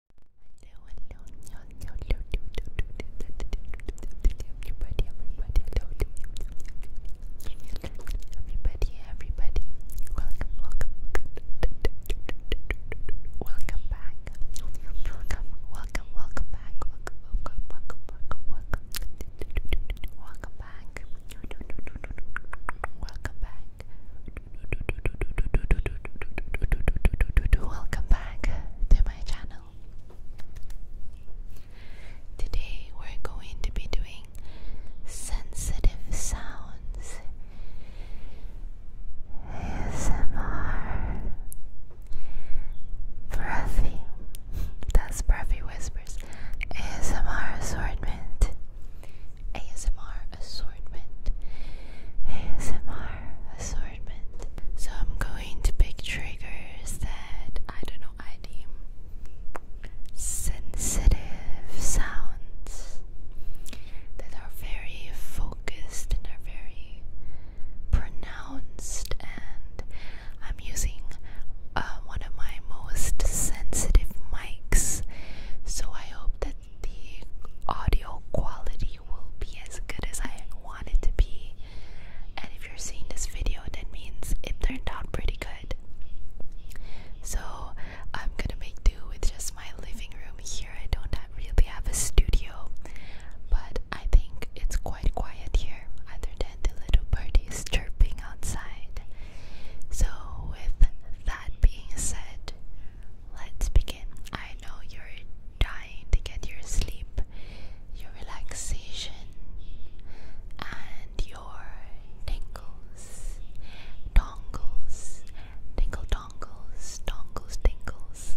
Hello, hello, everybody, everybody, welcome, welcome, welcome back, welcome, welcome, welcome back, welcome, welcome, welcome back. Welcome we're going to be doing sensitive sounds. ASMR. Breathy. That's breathy whispers. ASMR assortment. ASMR assortment. ASMR assortment. So I'm going to pick triggers that I don't know, I deem sensitive sounds that are very focused and are very pronounced and I'm using uh, one of my most sensitive mics so I hope that the audio quality will be as good as I want it to be. And if you're seeing this video, that means it turned out pretty good. So I'm gonna make do with just my living room here. I don't really have a studio, but I think it's quite quiet here, other than the little birdies chirping outside. So with that being said, Let's begin. I know you're dying to get your sleep, your relaxation, and your tingles, dongles, tingle dongles, dongles, tingles.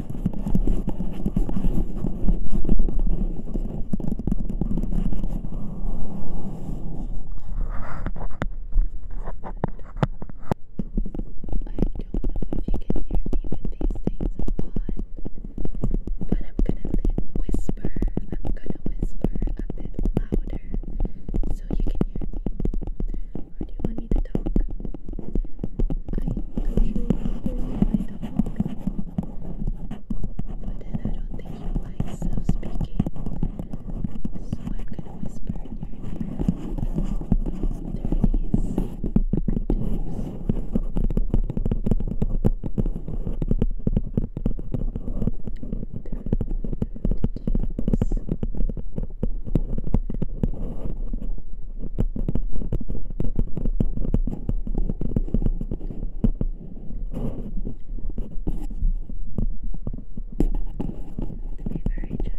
but I'm gonna whisper, I'm gonna whisper a bit louder so you can hear do you want me to talk? I usually hear my dog. But then I don't think you like self speaking. So I'm gonna whisper in your ear. There it is. Tubes. Through, through the tubes. Through the tubes. Be very gentle here. Just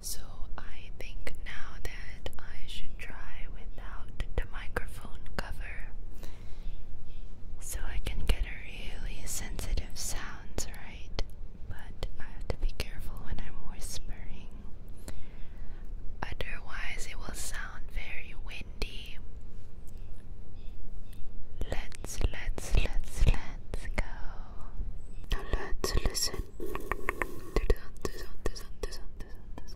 So I think now that I should try without the microphone cover. So I can get a really sensitive sounds, right? But I have to be careful when I'm whispering. Otherwise it will sound very windy. Let's let's let's let's go. Now let's listen to the sound, the sound, the sound, the sound,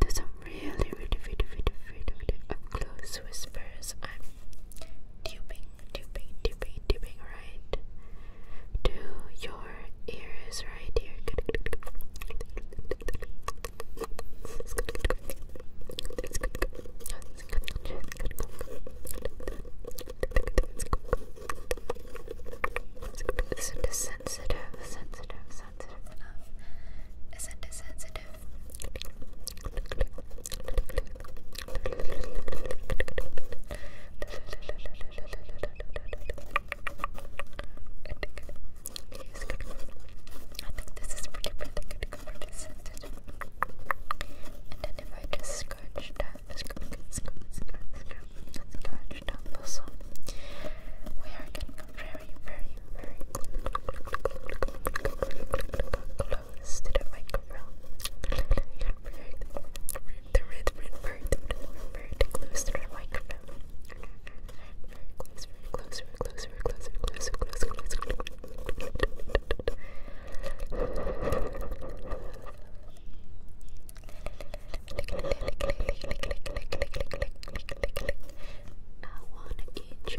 the sound, the really, really, really, really, really, really up close whispers. I'm duping, duping, duping, duping right to your ears right here. Listen sensitive, sensitive, sensitive enough. Isn't it sensitive? I think this is pretty pretty good covered sensitive. And then if I just scratch that, scratch, scratch, scratch, scratch, scratch that we are getting very, very, very close to the microphone. Very, very, very, very, very close to the microphone. Very very close, very close, very close, very close, very close, very close. I wanna get you.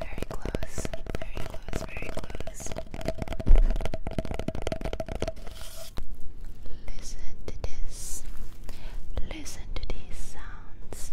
Very close, very close, very close. Listen to this. Listen to these sounds.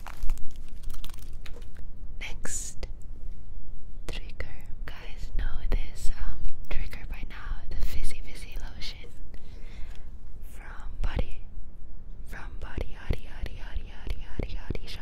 Next trigger, guys know this um trigger by now, the fizzy fizzy lotion from Body from Body Hottie Hottie Hottie Hottie Hottie Hottie Shop.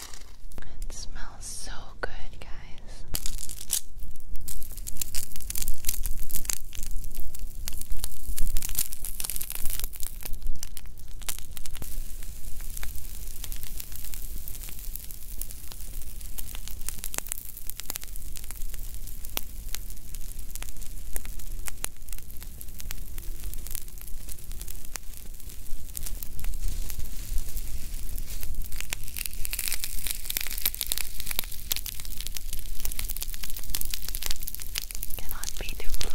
It smells so good, guys. Cannot be too close.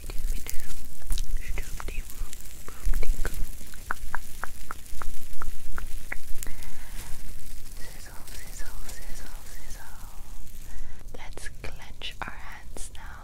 Sizzle, sizzle, sizzle, sizzle. Let's clench our hands now.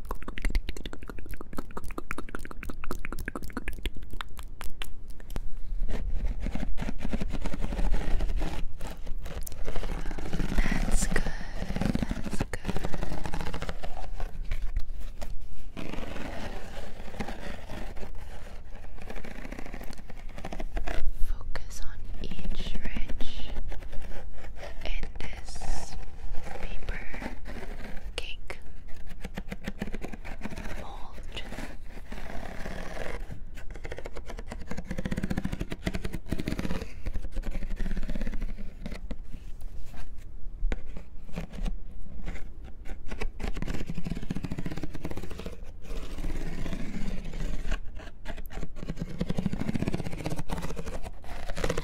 That's good. That's good. Focus on each ridge in this paper, cake, mold.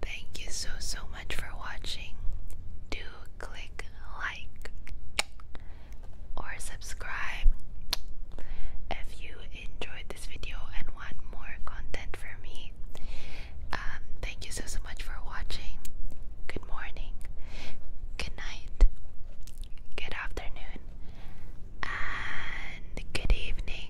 Thank you so so much for watching. Do click like or subscribe if you enjoyed this video and want more content from me. Um, thank you so so much for watching. Good morning, good night, good afternoon, and good evening